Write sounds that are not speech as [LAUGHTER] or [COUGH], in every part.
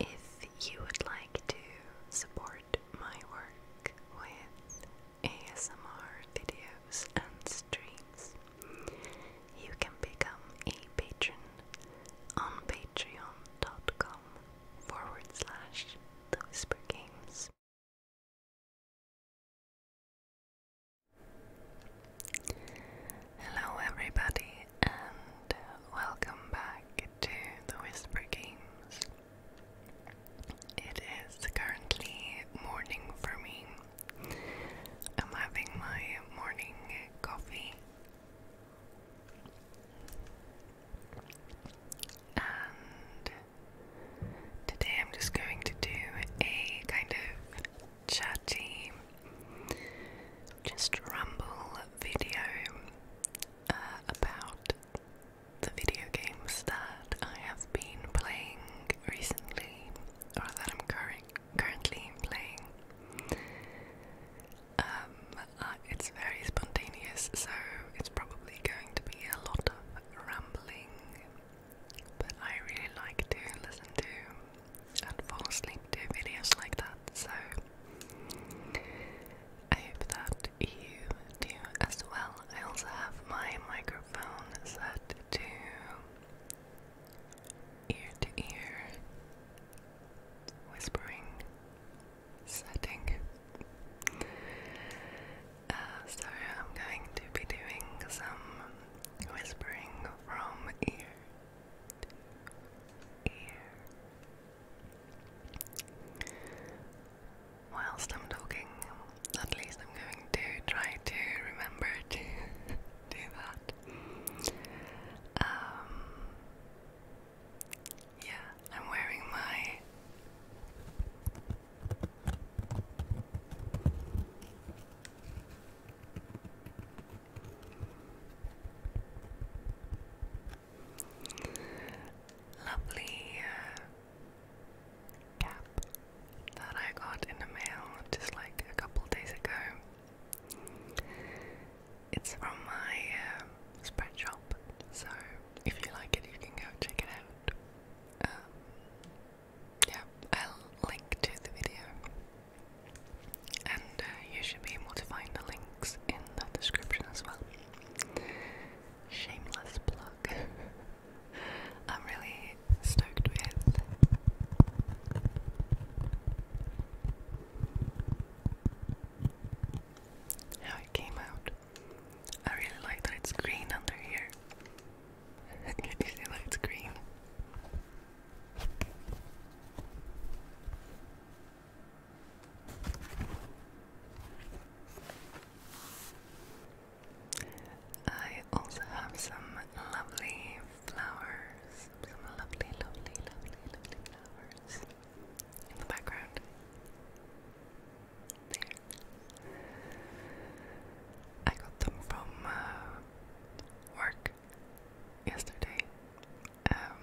If you would like to support my work with ASMR videos and streams, you can become a patron on patreon.com forward Hello, everybody, and welcome back to the Whisper Games. It is currently morning for me. I'm having my morning coffee, and Today I'm just going to do a kind of chatty, just ramble video uh, about the video games that I have been playing recently, or that I'm currently playing. Um, uh, it's very spontaneous, so it's probably going to be a lot of rambling but I really like to listen to and fall asleep to videos like that. So I hope that you do as well. I also have my microphone set to ear to ear whispering setting. Uh, so I'm going to be doing some whispering from ear ear. Whilst I'm talking, at least I'm going to try to remember [LAUGHS] to do that. Um, yeah, I'm wearing my Lovely uh, cap that I got in the mail just like a couple days ago. It's from my uh, spread shop, so if you like it, you can go check it out. Um, yeah, I'll link to the video, and uh, you should be able to find the links in the description as well. Shameless plug. [LAUGHS] I'm really stoked with how it came out. I really like that it's green under here. Can you green? I also have some lovely flowers, some lovely, lovely, lovely, lovely flowers in the background. There. I got them from uh, work yesterday. Um,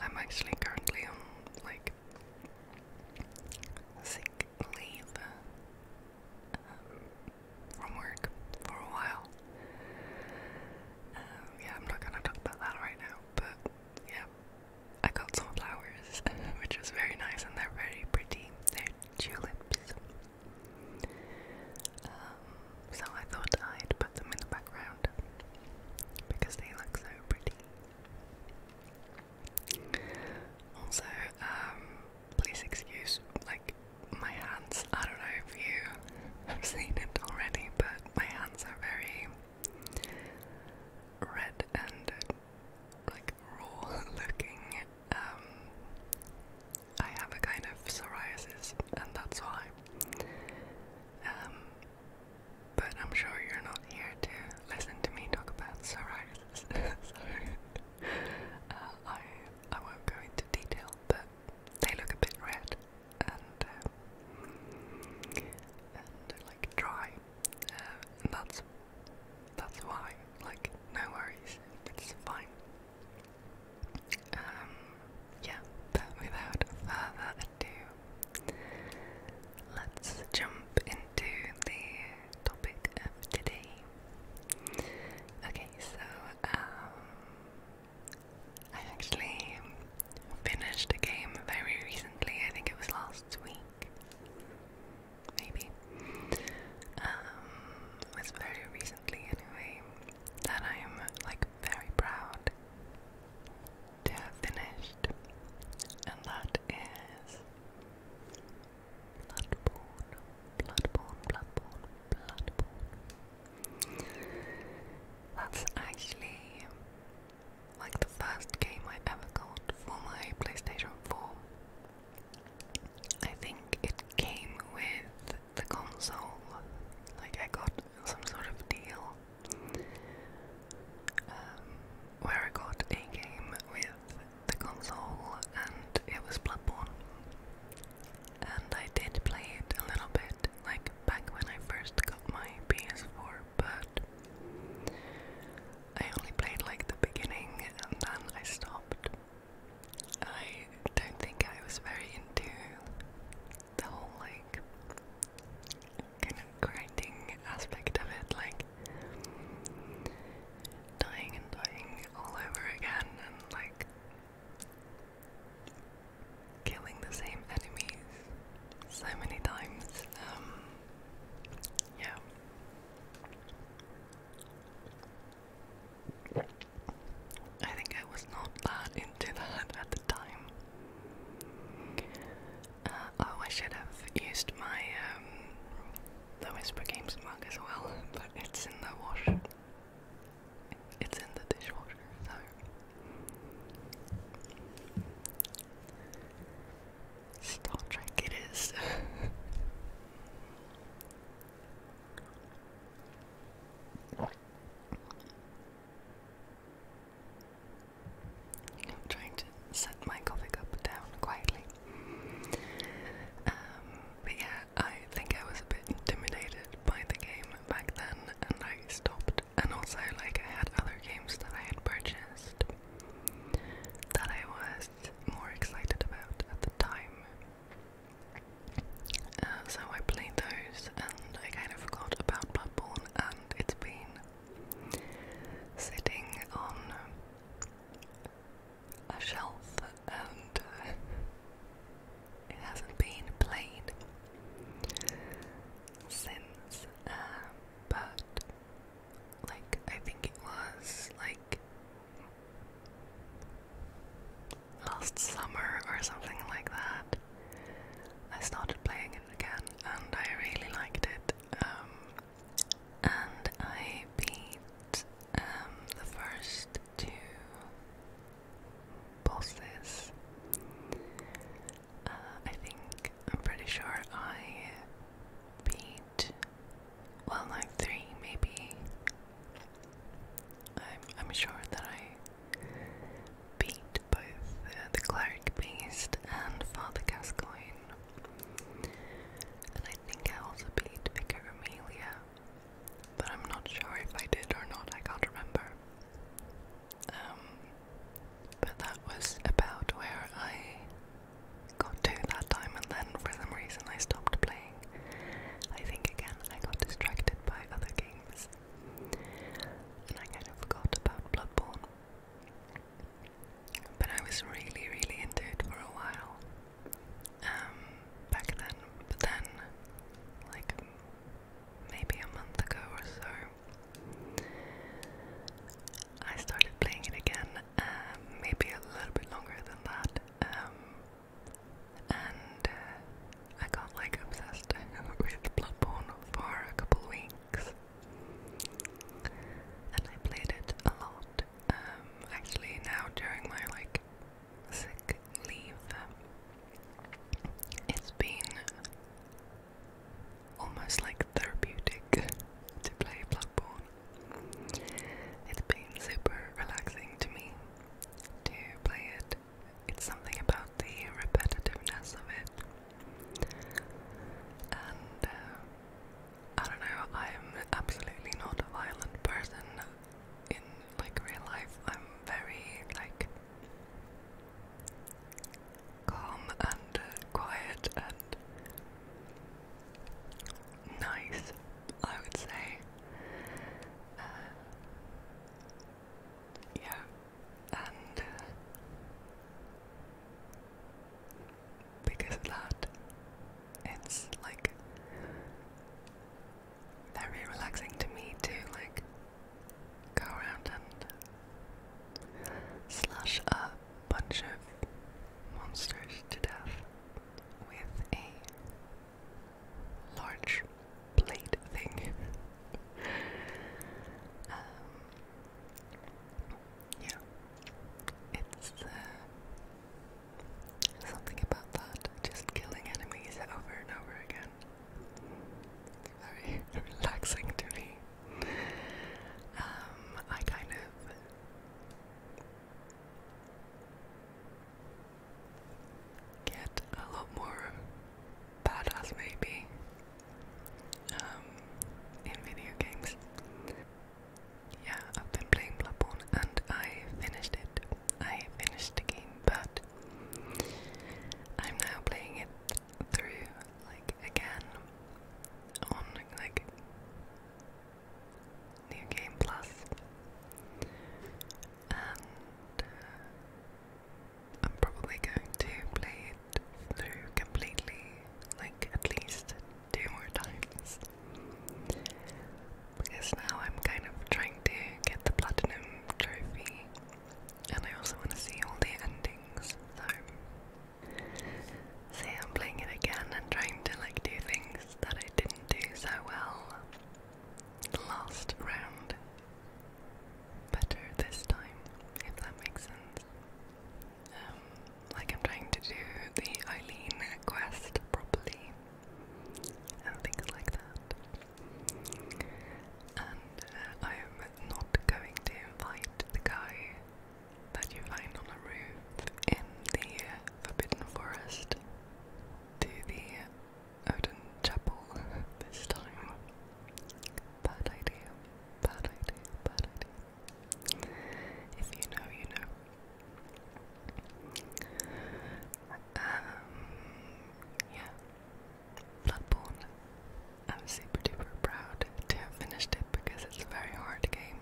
I'm actually currently on like sick leave um, from work for a while. Um, yeah, I'm not gonna talk about that right now, but yeah, I got some flowers, [LAUGHS] which is very nice, and they're very pretty. They're tulips, um, so I thought I'd put them in the background because they look so pretty. Also, um, please excuse like my hands. I don't know if you [LAUGHS] have seen it already, but my hands are very red and like raw [LAUGHS] looking. Um, I have a kind of psoriasis, and that's why. Um, but I'm sure you're not here to listen to me talk about psoriasis. [LAUGHS] so uh, I I won't go into detail, but they look a bit red and uh, and like dry, uh, and that's that's why. Like no worries, it's fine. Um, yeah, but without further ado, let's jump into the topic of today. Okay, so, um, I actually finished a game very recently, I think it was last week, maybe was um, very recently, anyway, that I am like very proud to have finished, and that is Bloodborne, Bloodborne, Bloodborne, Bloodborne. That's actually like the first game I ever got for my PlayStation 4. I think it came with the console. Like I got some sort of deal um, where I got a game with the console, and it was Bloodborne. And I did play it a little bit, like back when I first got my PS4, but I only played like the beginning, and then I stopped. I don't think I was very into the whole like kind of grinding aspect of it, like dying and dying all over again and like killing the same enemies so many times. Um, yeah. I think I was not that into that at the time. Uh, oh, I should have used my um, the Whisper Games mug as well, but it's in the wash. It's in the dishwasher, so. Star Trek it is. [LAUGHS] i trying to set my coffee cup down quietly. Um, but yeah, I think I was a bit intimidated by the game back then and I stopped. And also, like, I had other games that I had purchased that I was more excited about at the time. Uh, so I played those and I kind of forgot about Bloodborne and it's been sitting on a shelf and uh, it hasn't been played since, uh, but like I think it was like last summer or something like that. I started playing it again and I really liked it. Um, and I beat um, the first two bosses. Uh, I think, I'm pretty sure I beat, well, like three maybe. I'm sure that I beat both uh, the cleric beast and Father Gascoigne, and I think I also beat Bigger Amelia, but I'm not sure if I did or not. I can't remember. Um, but that was about where I got to that time, and then for some reason I stopped playing. I think again I got distracted by other games. And I kind of forgot about Bloodborne. But I was really, really into it for a while. Um, back then. But then, like, maybe a month ago or so, I started playing it again. Uh, maybe a little bit longer than that. Um, and uh, I got like obsessed with Bloodborne for a couple weeks, and I played it a lot. Um, actually, now during my like sick leave, it's been almost like therapeutic to play Bloodborne. It's been super relaxing to me to play it. It's something about the repetitiveness of it. And uh, I don't know, I'm absolutely not a violent person in like real life. I'm very like calm and uh, quiet and nice, I would say. Uh, yeah, and uh, because of that, it's like very relaxing to me to like go around and slash a bunch of monsters to death with a large blade thing. [LAUGHS] Um, yeah, it's uh, something about that, just killing enemies over and over again. very [LAUGHS] relaxing to me. Um, I kind of get a lot more badass, maybe, um, in video games. Yeah, I've been playing Bloodborne and I finished it. I finished the game, but I'm now playing it through, like, again on, like, New Game Plus and uh, I'm probably going to play it through completely, like at least two more times. Because now I'm kind of trying to get the platinum trophy, and I also want to see all the endings. So, see, I'm playing it again and trying to like do things that I didn't do so well last round better this time, if that makes sense. Um, like I'm trying to do the Eileen quest properly and things like that. And uh, I am not going to invite the guy that you find on a roof in the Forbidden Forest to the Odin Chapel this time. Bad idea, bad idea, bad idea. If you know, you know. Um, yeah. Bloodborne. I'm super duper proud to have finished it because it's a very hard game.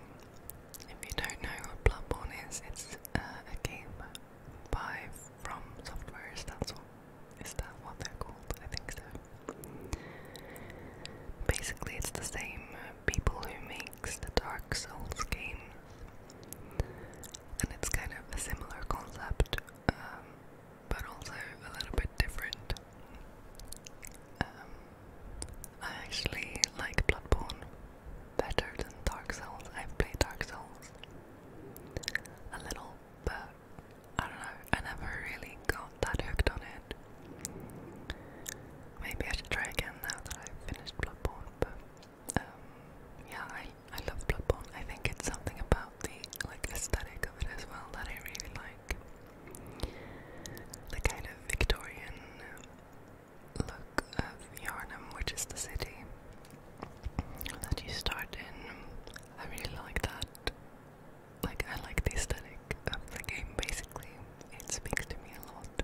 If you don't know what Bloodborne is, it's uh, a game by from softwares, that's all. that what they're called? I think so. Basically, it's the same people who makes the Dark Souls games, and it's kind of a similar concept, um, but also a little bit different. Um, I actually like Bloodborne better than Dark Souls. I've played Dark Souls a little, but I don't know, I never really got that hooked on it. Maybe I should try again now that I've finished Bloodborne, but um, yeah, I, I love Bloodborne. I think it's something about the like aesthetic of it as well that I really like. The kind of Victorian look of Yarnum, which is the city, that you start in. I really like that. Like, I like the aesthetic of the game basically. It speaks to me a lot.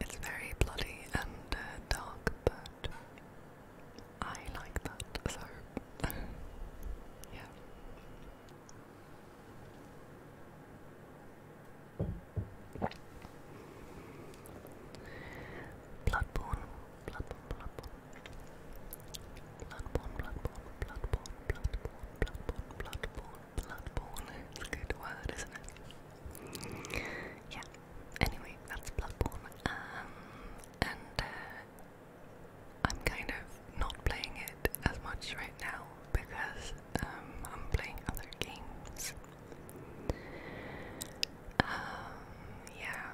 It's very bloody and uh, dark, but I like that, so [LAUGHS] yeah. Bloodborne, Bloodborne, Bloodborne, Bloodborne, Bloodborne, Bloodborne, Bloodborne, Bloodborne, It's a good word, isn't it? Yeah. Anyway, that's Bloodborne, um, and uh, I'm kind of not playing it as much right now because um, I'm playing other games. Um, yeah.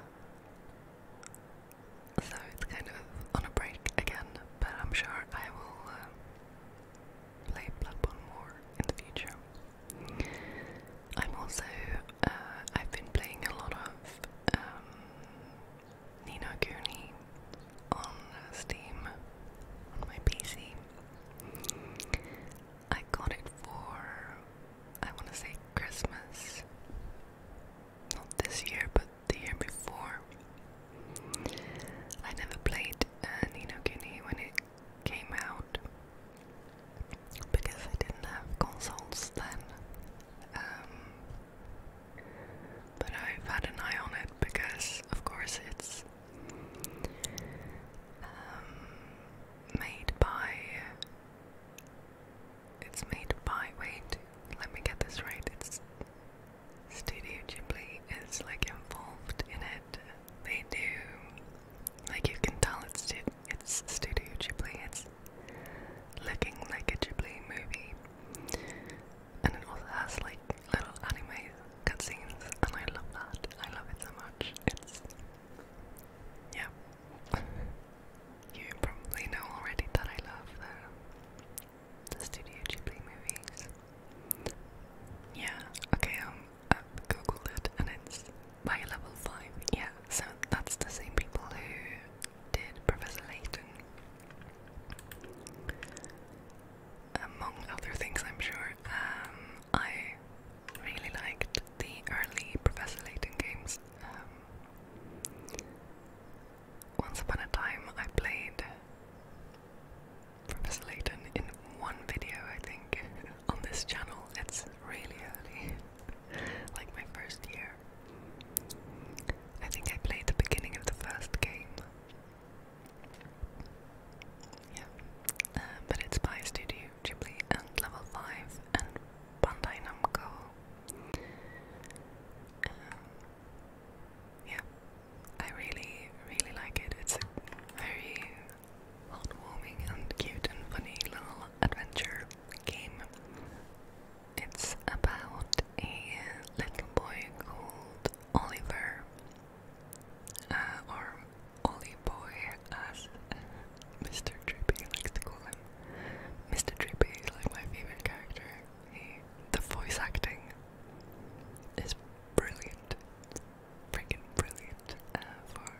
So it's kind of on a break again, but I'm sure I will uh, play Bloodborne more in the future. I'm also, uh, I've been playing a lot of um, Nina Nino Kuni on Steam on my PC. I got it for, I want to say Christmas. Not this year, but the year before. I never played uh, Nino Guinea when it came out because I didn't have consoles then. Um, but I've had an eye on it because, of course, it's. Um, made by. It's made by. Wait, let me get this right. It's Studio Ghibli is like involved in it. They do. Like you can tell, it's it's Studio Ghibli. It's looking like a Ghibli movie, and it also has like little anime cutscenes, and I love that. I love it so much. It's yeah. you probably know already that I love the, the Studio Ghibli movies. Yeah, okay, I've um, uh, googled it and it's by level 5. Yeah, so that's the same people who did Professor Layton. Among other things, I'm sure. Um, I really liked the early Professor Layton games. Um, once upon a time, I played Professor Layton in one video, I think, [LAUGHS] on this channel. It's really early, [LAUGHS] like my first year. I think I played the beginning of the first game. Yeah, uh, but it's by Studio Ghibli and Level 5 and Bandai Namco. Um, yeah, I really, really like it. It's a very heartwarming and cute and funny little adventure game. It's about a little boy called Oliver, uh, or Ollie Boy as uh, Mr. Trippy likes to call him. Mr. Trippy is like my favorite character. He, the voice acting is brilliant, freaking brilliant uh, for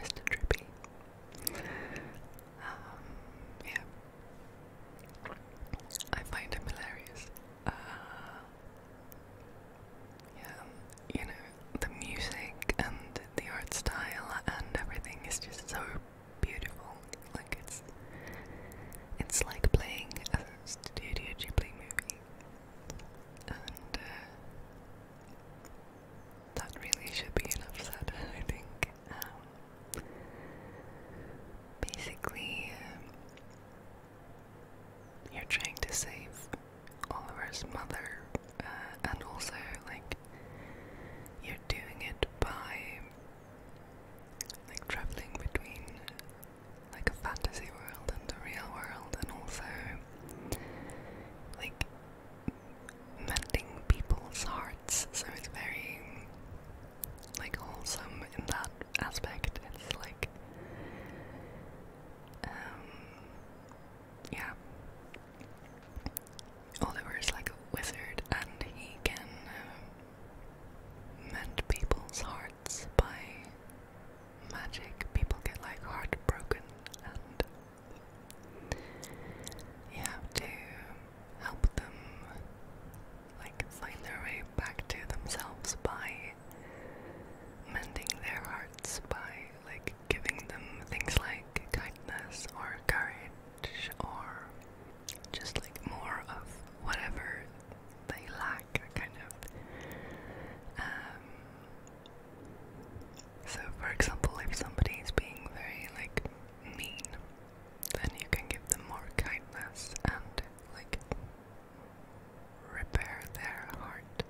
Mr. Drippy. Um, yeah. I find him hilarious. Uh, yeah, you know, the music and the art style and everything is just so beautiful. Like it's it's like playing a Studio Ghibli movie. And uh, that really should be enough [LAUGHS] said, I think. Um, basically, um, you're trying to save Oliver's mother, uh, and also like you're doing it by like traveling between like a fantasy world and the real world, and also like mending people's hearts. So it's very like wholesome in that aspect. It's like um, yeah, Oliver like a wizard and he can um, mend people's hearts by magic. People get like heartbroken and you have to help them like find their way back to themselves by mending their hearts by like giving them things like kindness or courage or just like more of whatever they lack, kind of. Um, so, for example, if somebody is being very like mean, then you can give them more kindness and like repair their heart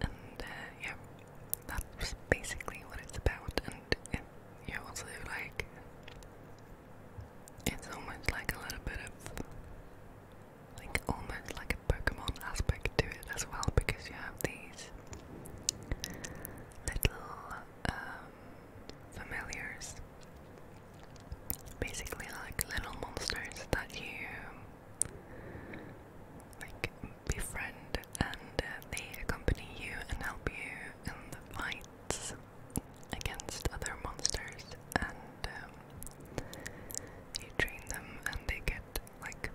and uh, yeah, that's basically what it's about. And you also like it's almost like a little bit of like almost like a Pokemon aspect to it as well because you have these little um, familiars, basically like little monsters that you like befriend and uh, they accompany you and help you in the fights against other monsters and um, you train them and they get like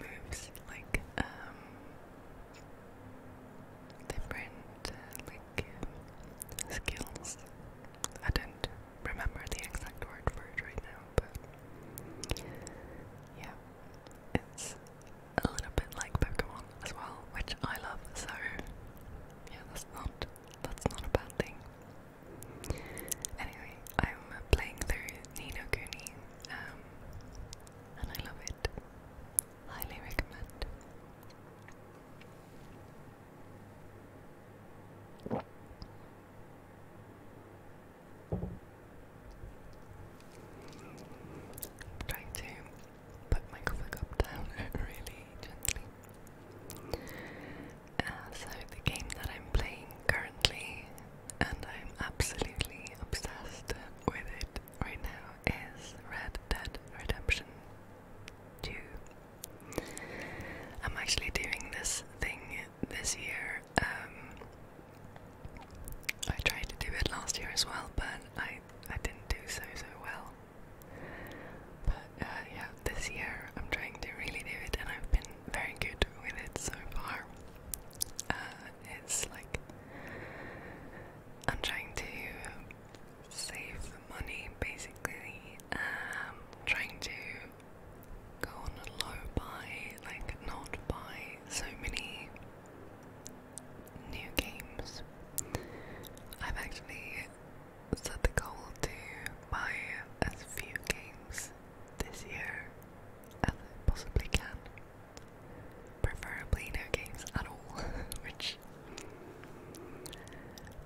moves like um, different uh, like skills I remember the exact word for it right now, but yeah, it's a little bit like Pokemon as well, which I love. So yeah, that's not that's not a bad thing. Anyway, I'm playing through Nino um, and I love it. Highly recommend trying to put my coffee cup down [LAUGHS] really gently. Uh, so the game that I'm playing currently, and I'm absolutely obsessed with it right now, is Red Dead Redemption 2. I'm actually doing this thing this year. Um, I tried to do it last year as well, but I I didn't do so so well. But uh, yeah, this year I'm trying to really do it, and I've been very good with it so far. Uh, it's like I'm trying to save money, basically. Um, trying to go on a low buy, like not buy so many new games. I've actually set the goal to buy as few games this year as I possibly can. Preferably no games at all, [LAUGHS] which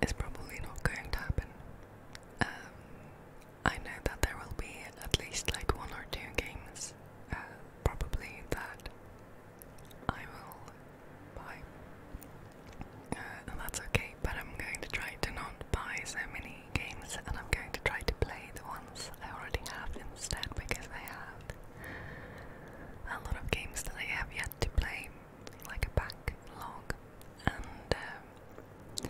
is probably not going to happen. Um, I know that there will be at least like one or two games, uh, probably, that I will buy. Uh, and that's okay, but I'm going to try to not buy so many games and I'm going to try to play the ones I already have instead because I have a lot of games that I have yet to play, like a backlog and um,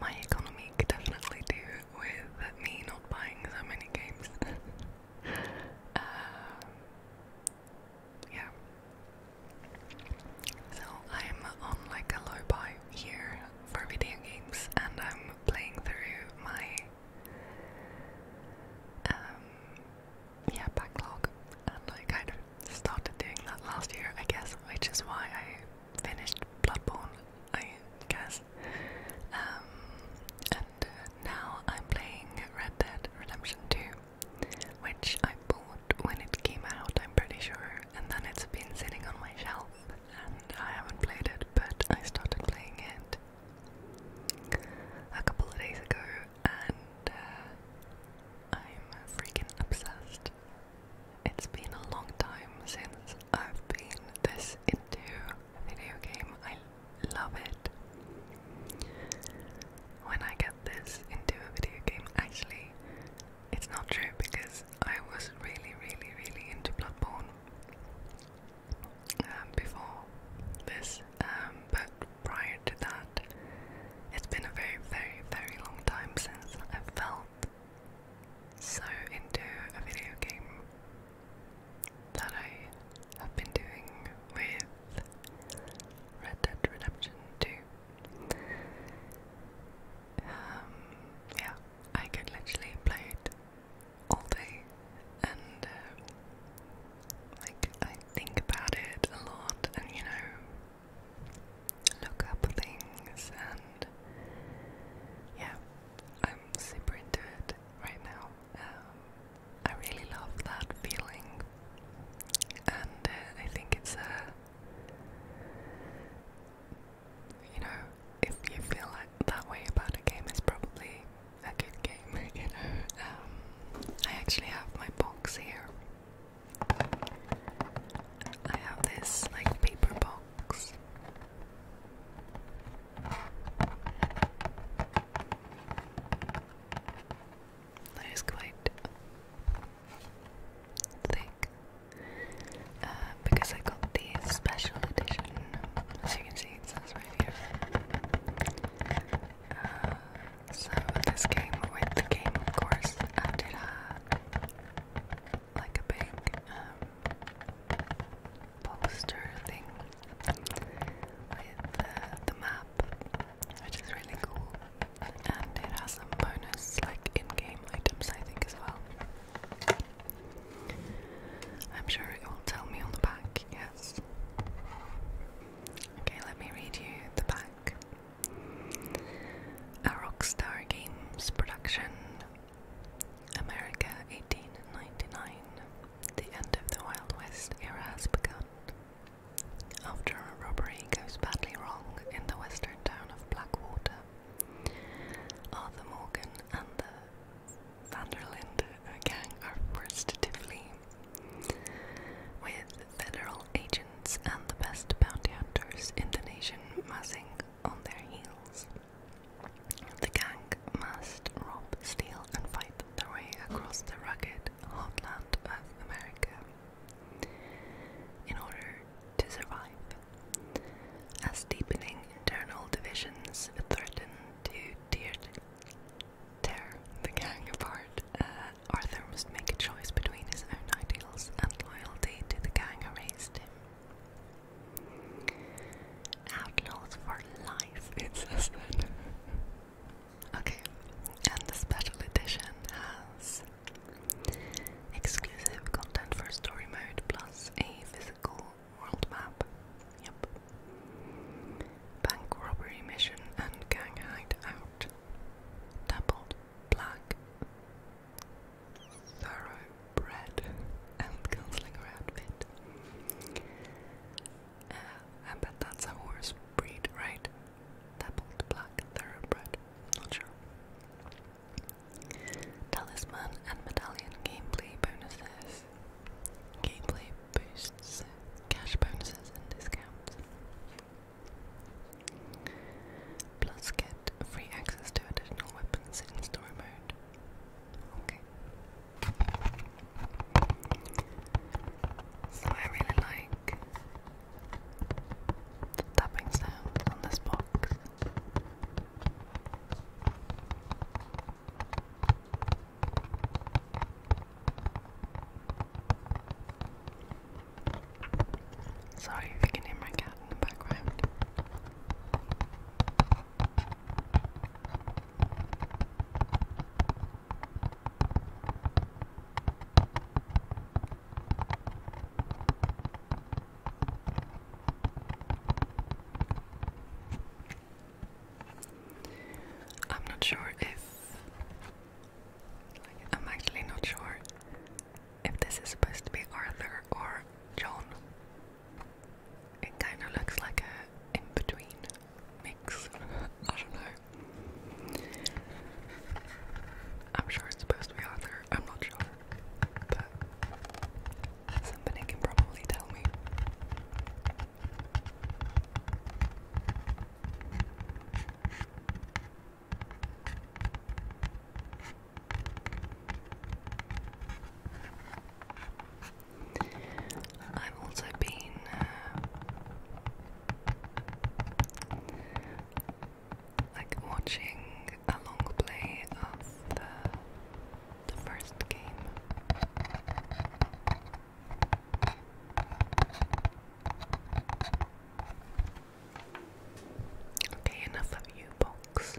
my economy could definitely do with me not buying so many games. [LAUGHS] Uh, yeah. So I'm on like a low buy here for video games, and I'm playing through my um, yeah backlog, and I kind of started doing that last year, I guess, which is why I finished Bloodborne, I guess. Um, and uh, now I'm playing Red Dead Redemption 2, which I bought when it came out, I'm pretty sure, and then it's been sitting on my shelf, and I haven't played it, but I started playing it a couple of days ago, and uh, I'm freaking obsessed. It's been a long time since I've been this into a video game. I love it. When I get this into a video game, actually, it's not true because I was really, really, really into Bloodborne um, before this, um, but prior to that, it's been a very, very, very long time since I felt so into a video game that I have been doing with Red Dead Redemption 2. Um, yeah, I could literally play it all day and uh, like I think about it a lot and you know look up things and yeah, I'm super into it right now. Um, I really love that feeling, and uh, I think it's a you know, if you feel like that way about a game, it's probably a good game, [LAUGHS] you know. Um, I actually have my box here I have this like paper box. That is quite thick uh, because I got the special edition. As you can see, it says right here. Uh, so this came with the game, of course. I like a big um, poster thing with uh, the map, which is really cool. And it has some bonus, like in-game items, I think, as well. I'm sure it will tell me on the back. Yes. Okay, let me read you the back. A Rockstar Games production America 1899. The end of the Wild West era has begun. After a robbery goes badly wrong in the western town of Blackwater, Arthur Morgan and the Vanderlinde gang are forced to flee. With federal agents and the best bounty hunters in the nation massing on their heels. The gang must rob, steal, and fight their way across the rugged hot land of America in order to survive. As deepening internal divisions threaten to tear, the gang apart, uh, Arthur must make a choice between his own ideals and loyalty to the gang who raised him. Outlaws for life, it says that. okay, and the special edition has exclusive content for story mode plus a physical world map. Yep. Bank robbery mission and gang hideout. Doubled black thoroughbred and gunslinger outfit. Uh, I bet that's a horse breed, right? Dappled black thoroughbred. Not sure. Talisman and medallion gameplay bonuses. Gameplay boosts, cash bonuses, and discounts plus get free access to additional weapons in story mode. Okay. So I really like tapping sounds on this box. Sorry if you can hear my cat in the background. I'm not sure if I'm actually not sure if this is supposed to be Arthur or John. It kind of looks like a in between mix. [LAUGHS] I don't know. I'm sure it's supposed to be Arthur. I'm not sure. But somebody can probably tell me. I've also been uh, like watching a long play of the the first game. Okay, enough of you, box.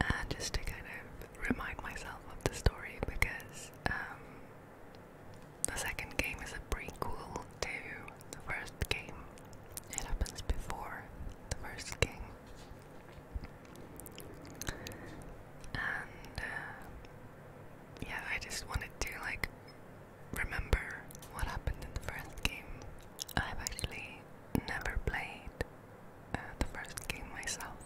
Uh, just to kind of remind myself of the story because um, the second game is a prequel to the first game. It happens before the first game. And uh, yeah, I just wanted to like remember what happened in the first game. I've actually never played uh, the first game myself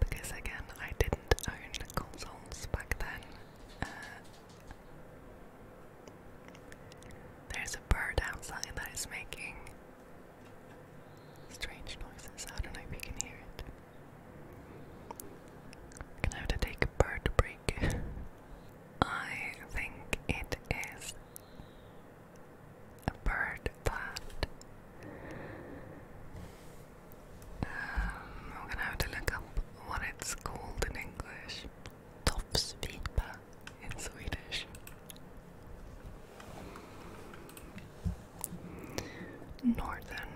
because, again, I didn't own consoles back then. Uh, there's a bird outside that is making strange noises. I don't know if you can hear it. Gonna have to take a bird break. [LAUGHS] I think it is a bird that um, I'm gonna have to look up what it's called in English. Tofsvipa in Swedish. Northern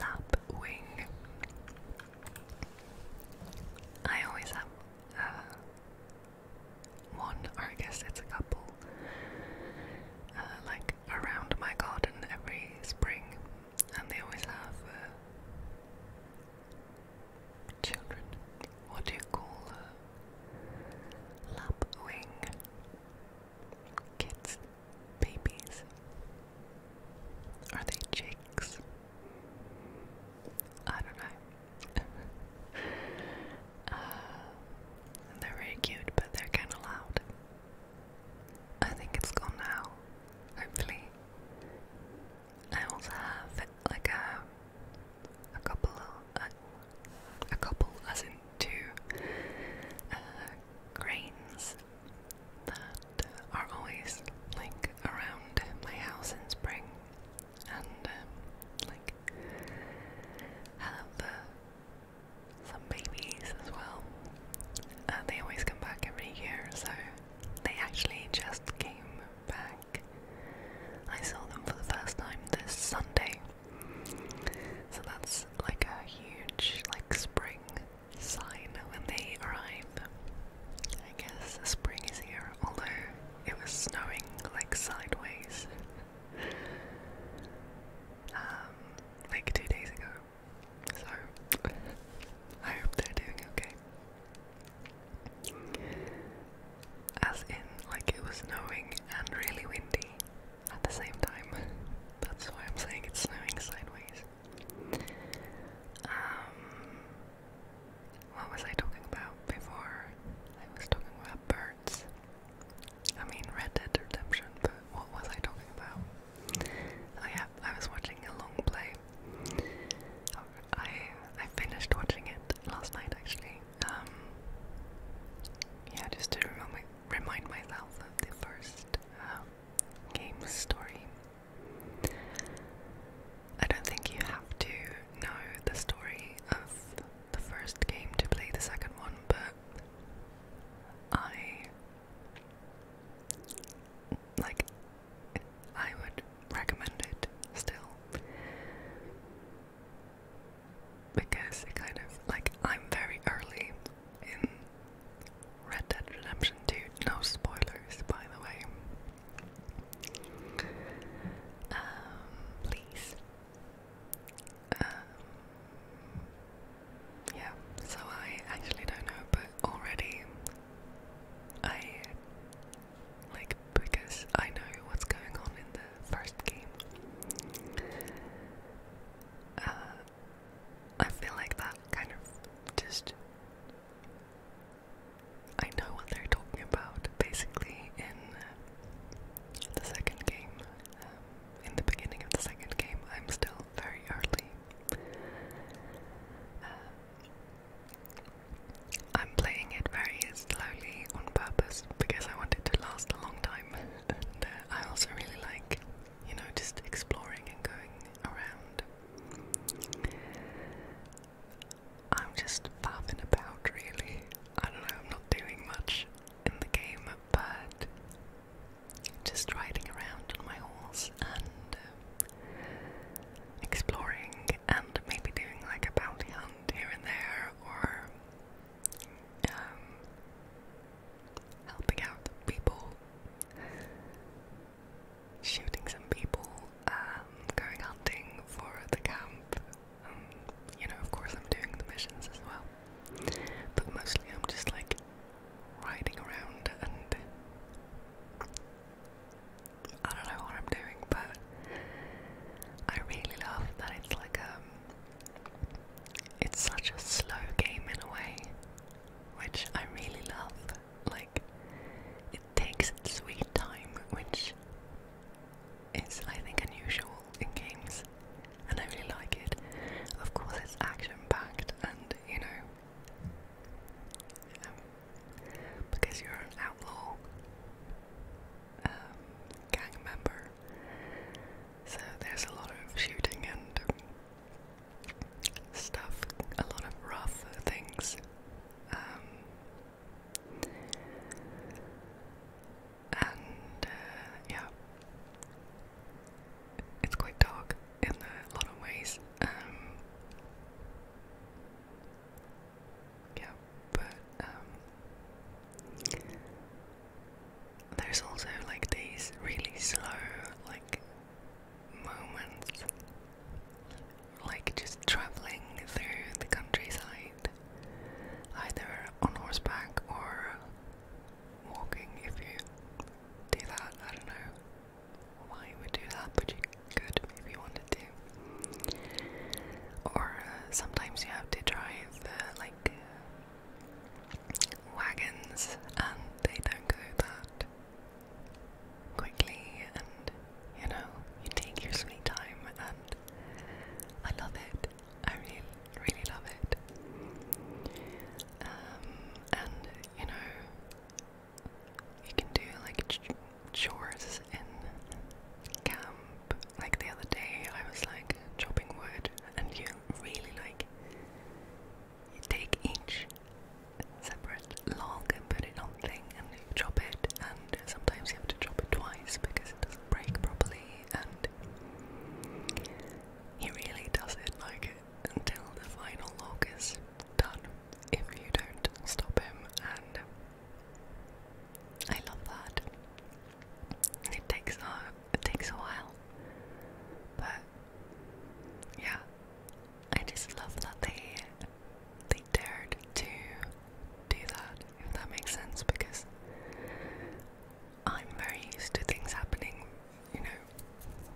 lapwing. I always have uh, one, or I guess it's a couple, uh, like around my garden every spring, and they always have uh, children. What do you call a uh, lapwing? Kids, babies. Are they chicks? I don't know. [LAUGHS] Uh, they're very cute, but they're kind of loud. I think it's gone now, hopefully. I also have like a a couple, of, uh, a couple as in two uh, that are always like around my house in spring and um, like have some babies as well. Uh, they always come back every year, so they actually just came back. I saw them for the first time this Sunday, so that's like a huge like spring sign when they arrive. I guess spring is here, although it was snowing like sideways. Um, like two days ago. So I hope they're doing okay. As in, like it was snowing and really windy at the same time. That's why I'm saying it's snowing sideways. Um, what was I talking about before? I was talking about birds. I mean, Red Dead Redemption, but what was I talking about? Oh yeah, I was watching a long play. I I finished watching it last night actually. Um, yeah, just to remind remind myself of the first um, game story. I don't think you have to know the story of the first game to play the second one, but I like I would recommend it still because it kind of like I'm very early in Red Dead Redemption 2. No spoilers, by the way. Um, please. Um, yeah, so I actually don't know, but already I like because I know what's going on in the first game. Uh, I feel like that kind of just I know what they're talking about basically in the second game. Um, in the beginning of the second game, I'm still very early. Uh, I'm playing it very slowly on purpose because I want it to last a long time. [LAUGHS] And uh, I also really like, you know, just exploring and going around. I'm just faffing about, really. I don't know, I'm not doing much in the game, but just riding around on my horse and uh, exploring and maybe doing like a bounty hunt here and there or um, helping out people, shooting some people, um, going hunting for the camp, you know, of course, I'm doing the missions as well, but mostly I'm just like riding around and I don't know what I'm doing, but I really love that it's like um, it's such a slow game in a way, which I really love. Like, it takes its sweet time, which it's I think, unusual in games, and I really like it. Of course, it's action packed, and you know, um, because you're an outlaw um, gang member, so there's a lot of shooting and um, stuff, a lot of rough things. And uh, yeah, it's quite dark in a lot of ways. Um, yeah, but um, there's also like these really slow, like moments, like just traveling through the countryside ride, either on horseback or walking. If you do that, I don't know why you would do that, but you could if you wanted to. Or uh, sometimes you have to drive uh, like uh, wagons, and they don't go that quickly, and you know you take your sweet time and I love it. I really, really love it. Um, and you know, you can do like chores in camp. Like the other day, I was like chopping wood, and you really like you take each separate log and put it on thing and chop it, and sometimes you have to drop it twice because it doesn't break properly and he really doesn't like it until the final log is done if you don't stop him and I love that. It takes a it takes a while. But yeah. I just love that they they dared to do that if that makes sense, because I'm very used to things happening, you know,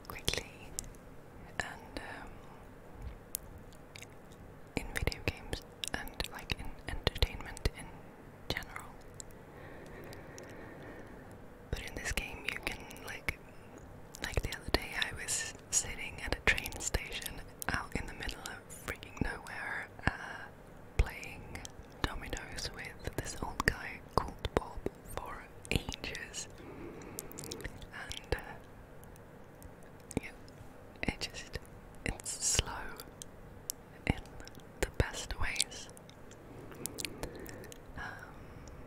quickly, and um, in video games, and like in entertainment in general. But in this game, you can like, like the other day, I was sitting at a train station out in the middle of freaking nowhere. Uh, playing dominoes with this old guy called Bob for ages, and uh, yeah, it just it's slow in the best ways, um,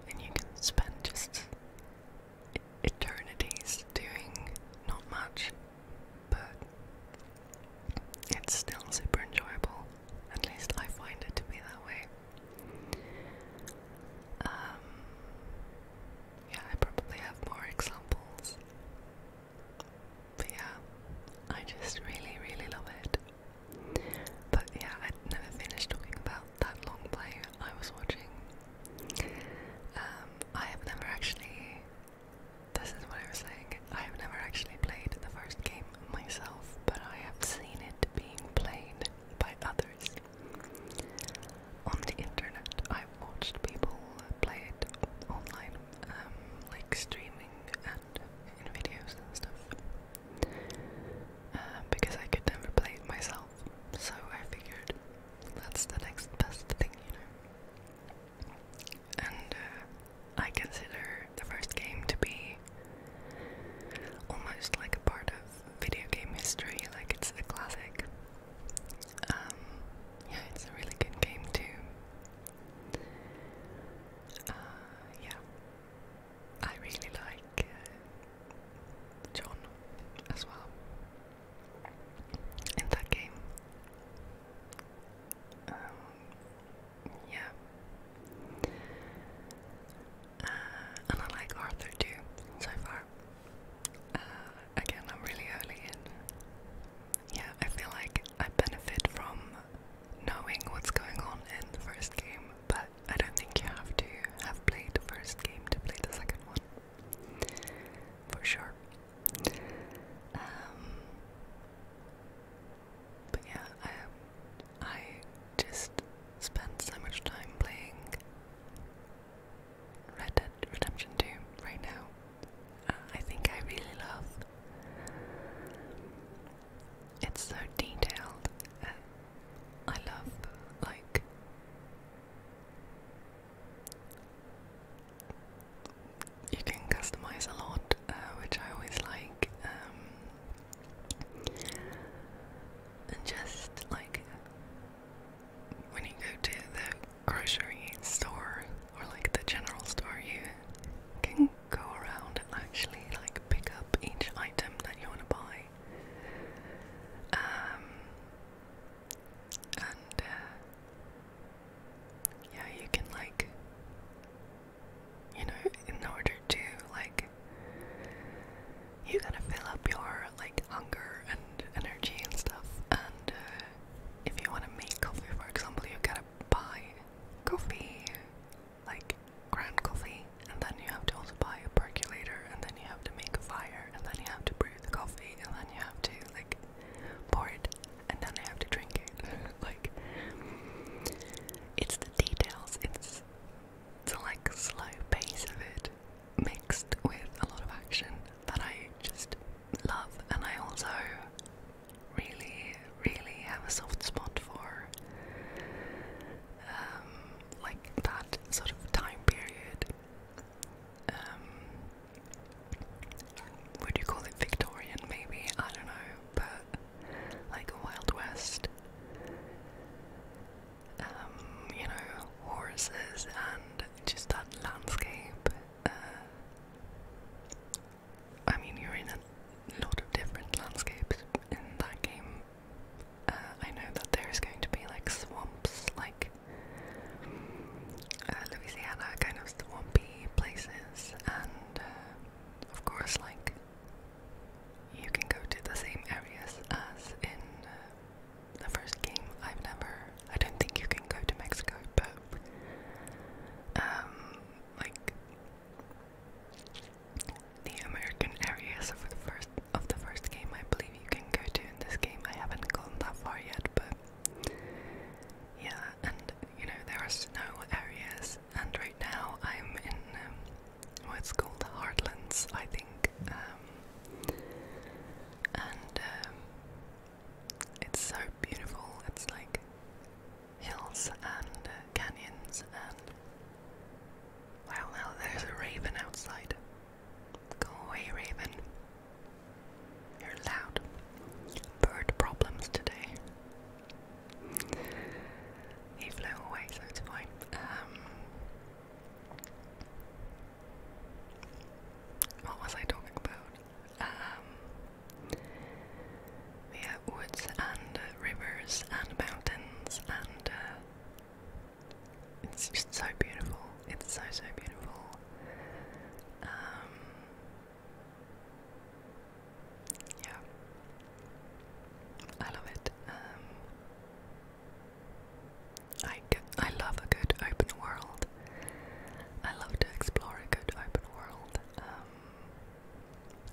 and you can spend just eternities doing not much but it's still super enjoyable. At least I find it to be that way. Um, yeah, I probably have more examples. But yeah, I just really, really love it. But yeah, i never finished talking about that long play I was watching. Um, I have never actually this is what I was saying. I have never actually played the first game myself, but I have seen it being played by others. On the internet, I've watched people play it online, um, like streaming and videos and stuff. Uh, because I could never play it myself, so I figured that's the next best thing, you know and uh, I consider the first game to be almost like a part of video game history, like it's a classic. Um, yeah, it's a really good game too. Uh, yeah, I really like uh, John as well in that game. Um, yeah. Uh, and I like Arthur too, so far. Uh, again, I'm really early in. Yeah, I feel like I benefit from knowing what's going on in the first game, but I don't think you have to have played the first game to play the second one. For sure. Um, but yeah, I, I just spend so much time playing Red Dead Redemption 2 right now. Uh, I think I really love. It's so detailed. Uh, I love like you can customize a lot, uh, which I always like. Um, and just like when you go to the grocery store or like the general store, you can go around and actually like pick up each item that you want to buy. Um, and uh, yeah, you can like, you know, in order to like, you gotta fill up your like hunger and energy and stuff. And uh, if you want to make coffee, for example, you gotta buy coffee, like ground coffee, and then you have to also buy a percolator, and then you have to make a fire, and then you have to brew the coffee, and then you have to like pour it and then I have to drink it. [LAUGHS] like, it's the details, it's the like slow pace of it mixed with a lot of action that I just love, and I also really, really have a soft spot for um, like that sort of time period. Um, would you call it Victorian? Maybe I don't know but like Wild West. Um, you know, horses and just that landscape. Uh, I mean, you're in a lot of different landscapes in that game. Uh, I know that there's going to be like swamps, like uh, Louisiana kind of swampy places, and of course, like you can go to the same areas as in uh, the first game. I've never, I don't think you can go to Mexico, but um, like the American areas for the first of the first game, I believe you can go to in this game. I haven't gone that far yet, but yeah, and you know there are snow areas. And right now I'm in um, what's called the Heartlands, I think. Um, and um, it's so beautiful. It's like hills and uh, canyons and wow, there's a raven outside. Go away, raven. You're loud. Bird problems today. He flew away, so it's fine. Um, what was I talking about? Um, woods and rivers and mountains and uh, it's just so beautiful. It's so so beautiful. Um, yeah. I love it. Um, I, I love a good open world. I love to explore a good open world. Um,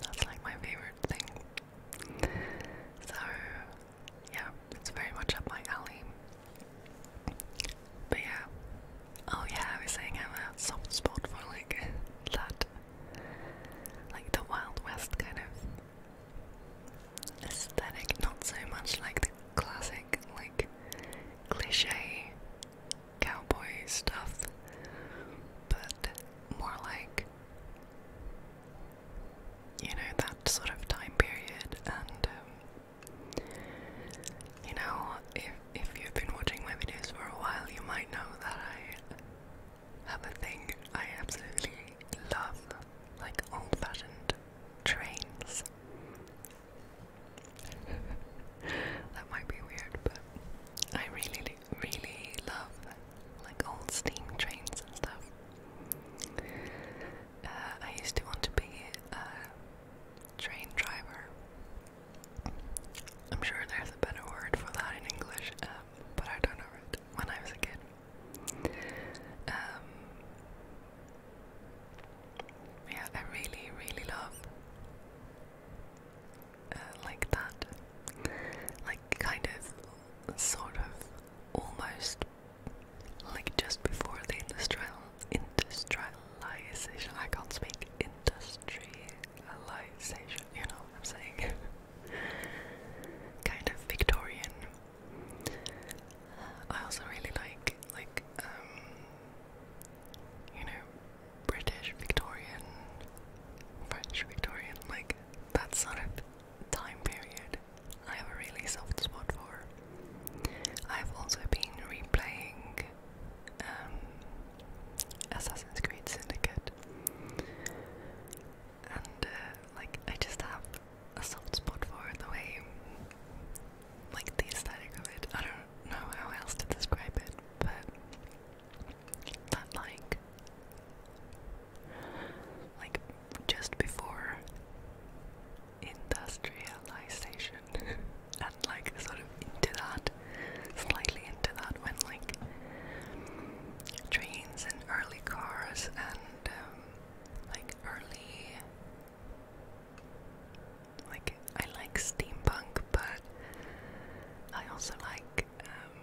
that's like my favorite thing. So, yeah, it's very much up my alley. yeah, Oh yeah, I was saying I have a soft spot for like that, like the Wild West kind of aesthetic. Not so much like the classic, like cliche cowboy stuff, but more like you know that sort of time period and. Um, you know, if if you've been watching my videos for a while, you might know that I have a thing I absolutely love, like old fashioned trains. [LAUGHS] that might be weird, but I really, really love like old steam trains and stuff. Uh, I used to want to be a train driver I'm sure there's a better word for that in English, um, but I don't know it when I was a kid. Um, yeah, I really, really love uh, like that, like kind of, sort of, almost like just before the industrial industrialization. I can't speak industrialization you know I'm saying? [LAUGHS] kind of Victorian. I also really like like um, you know British Victorian French Victorian like that sort of time period I have a really soft spot for. I've also been replaying um, Assassin's Creed Syndicate. And uh, like I just have a soft spot for the way like the aesthetic of it. I don't know how else to describe it, but that like like just before industrialization [LAUGHS] and like sort of into that slightly into that when like trains and early cars and um, like early like I like steampunk but I also like um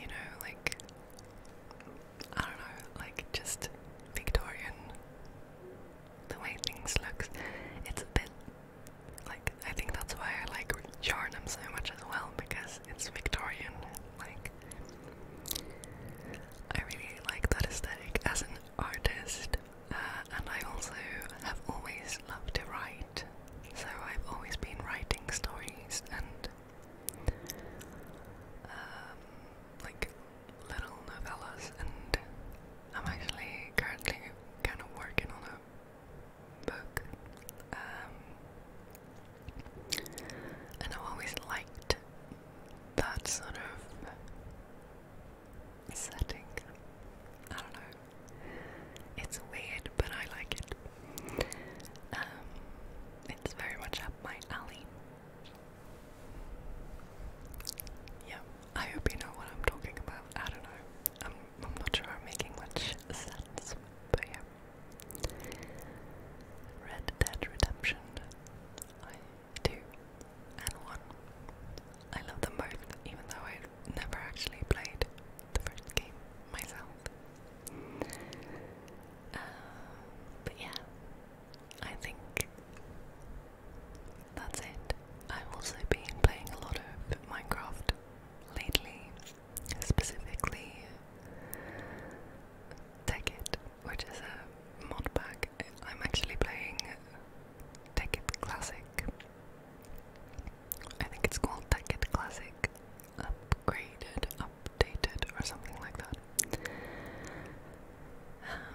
you know like I don't know like just Victorian the way things looks it's a bit like, I think that's why I like Charnham so much as well, because it's Victorian. Like, I really like that aesthetic as an artist, uh, and I also have always loved to write, so I've always been writing stories and um, like little novellas and I'm actually currently kind of working on a book, um, and i always liked that sort of setting. I don't know. It's weird, but I like it. Um, it's very much up my alley. Yeah. I hope you know what I'm talking about. I don't know. I'm, not sure I'm making much sense, but yeah. Red Dead Redemption. I do. And one. I love them both, even though I never actually played the first game myself. Uh, but yeah, I think that's it. I've also been playing a lot of Minecraft lately, specifically Tekkit, which is a mod pack. I'm actually playing Tekkit Classic. I think it's called Tekkit Classic Upgraded, Updated, or something like that. Um,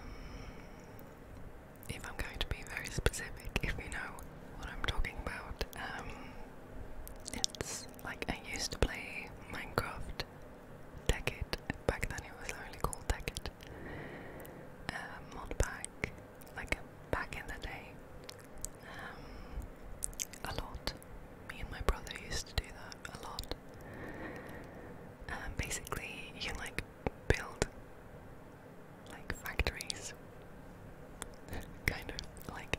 if I'm going to be very specific, if you know what I'm talking about, um, it's like I used to play Minecraft Decade. Back then it was only called Decade. Uh, mod pack, like back in the day. Um, a lot. Me and my brother used to do that a lot. Um, basically, you like build like factories. [LAUGHS] kind of like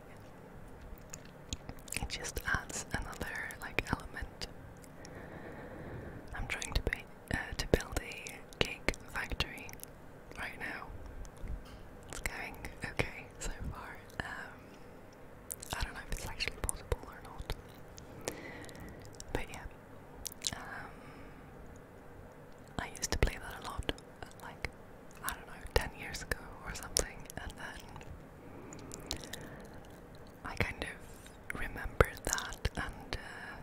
it just adds another like element. I'm trying to be, uh, to build a cake factory right now. It's going okay so far. Um, I don't know if it's actually possible or not. But yeah. Um, I used to play that a lot, like, I don't know, 10 years ago or something, and then I kind of remembered that, and uh,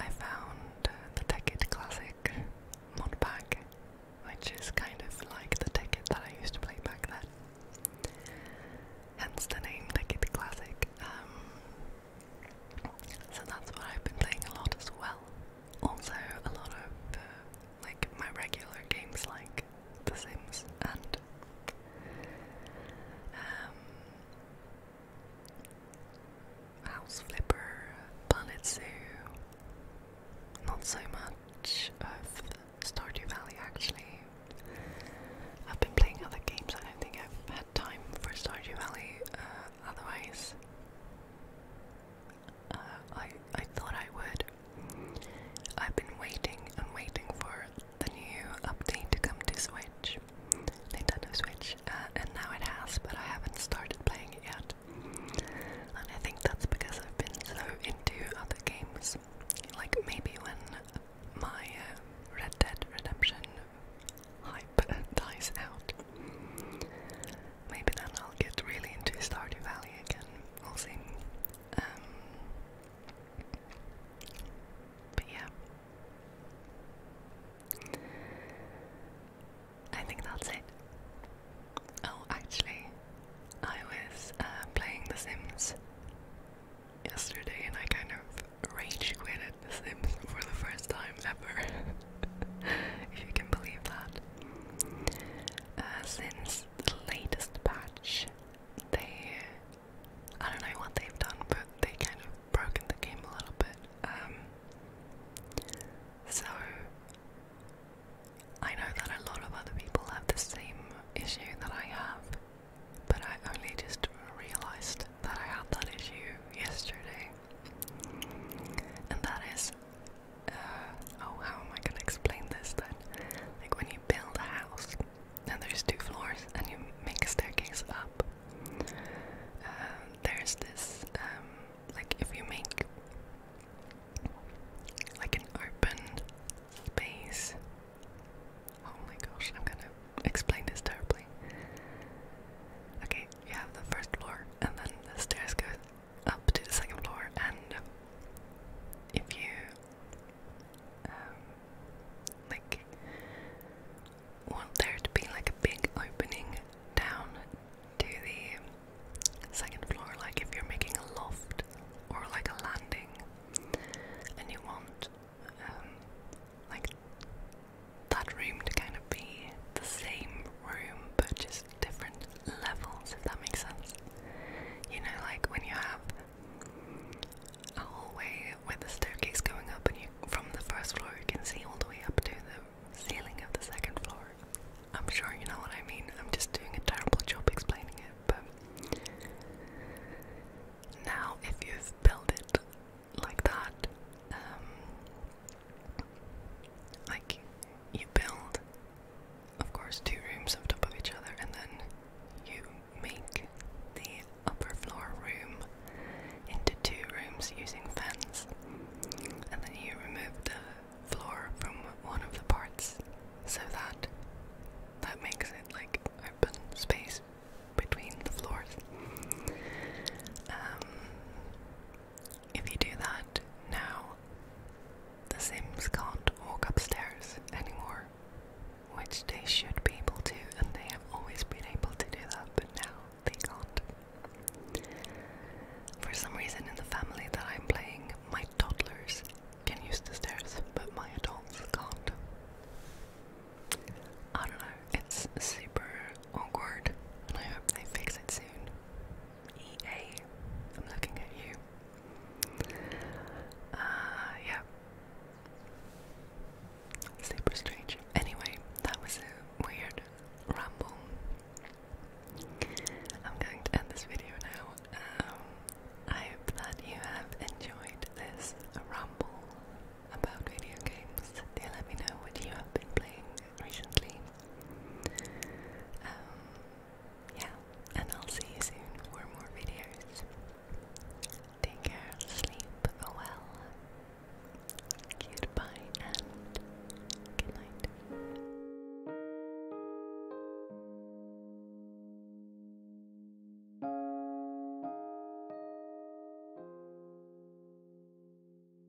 I found uh, the Tekkit Classic mod which is kind of like the ticket that I used to play back then. Hence the name Tekkit Classic. Um, so that's what I've been playing a lot as well. Also, a lot of uh, like my regular games like The Sims and um, House Flipper, Planet Zoo. Not so much of Stardew Valley actually. I've been playing other games. I don't think I've had time for Stardew Valley. Uh, otherwise uh, I I thought I would. I've been waiting and waiting for the new update to come to Switch, Nintendo Switch, uh, and now it has, but I haven't started playing it yet. And I think that's because I've been so into other games. Like maybe when my uh, Red Dead Redemption hype dies out. Maybe then I'll get really into Stardew Valley again. We'll see. Um, but yeah. I think that's it. Oh, actually, I was uh, playing The Sims yesterday and I kind of rage quit Sims for the first time ever, [LAUGHS] if you can believe that. Uh, since the latest patch, they. I don't know what they've done, but they kind of broken the game a little bit. Um, so, I know that a lot of other people have the same issue that I have, but I only just realised that I had that issue yesterday. And that is, uh, oh, how am I gonna explain this That Like when you build a house and there's two floors and you make a staircase up, um, there's this, um, like if you make like an open space. Oh my gosh, I'm gonna explain this terribly. Okay, you have the first floor, and then the stairs go up to the second floor. And if you um, like want there to be like a big opening down to the second floor, like if you're making a loft or like a landing, and you want um, like that room to kind of be the same room but just different levels, if that makes sense. You know, like when you have a hallway with a staircase going up, and you from the first floor you can see all the way up to the ceiling of the second floor. I'm sure you know what I mean. I'm just doing a terrible job explaining it, but now if you've it like that. Um, like you build, of course, two rooms on top of each other, and then you make the upper floor room into two rooms using fence, and then you remove the floor from one of the parts so that that makes it like open space between the floors. Um, if you do that now, the Sims can't walk upstairs anymore, which they should be able to, and they have always been able to do that, but now they can't. For some reason, in the family that I'm playing, my toddlers can use the stairs, but my adults can't. I don't know, it's super awkward, I hope they fix it soon. EA, am looking at you. Uh, yeah. Super strange. Anyway, that was a weird ramble. I'm going to end this video now. Um, I hope that you have enjoyed this ramble about video games. Do let me know what you have been playing recently. Um, yeah, and I'll see you soon for more videos. Take care, sleep well. Goodbye and good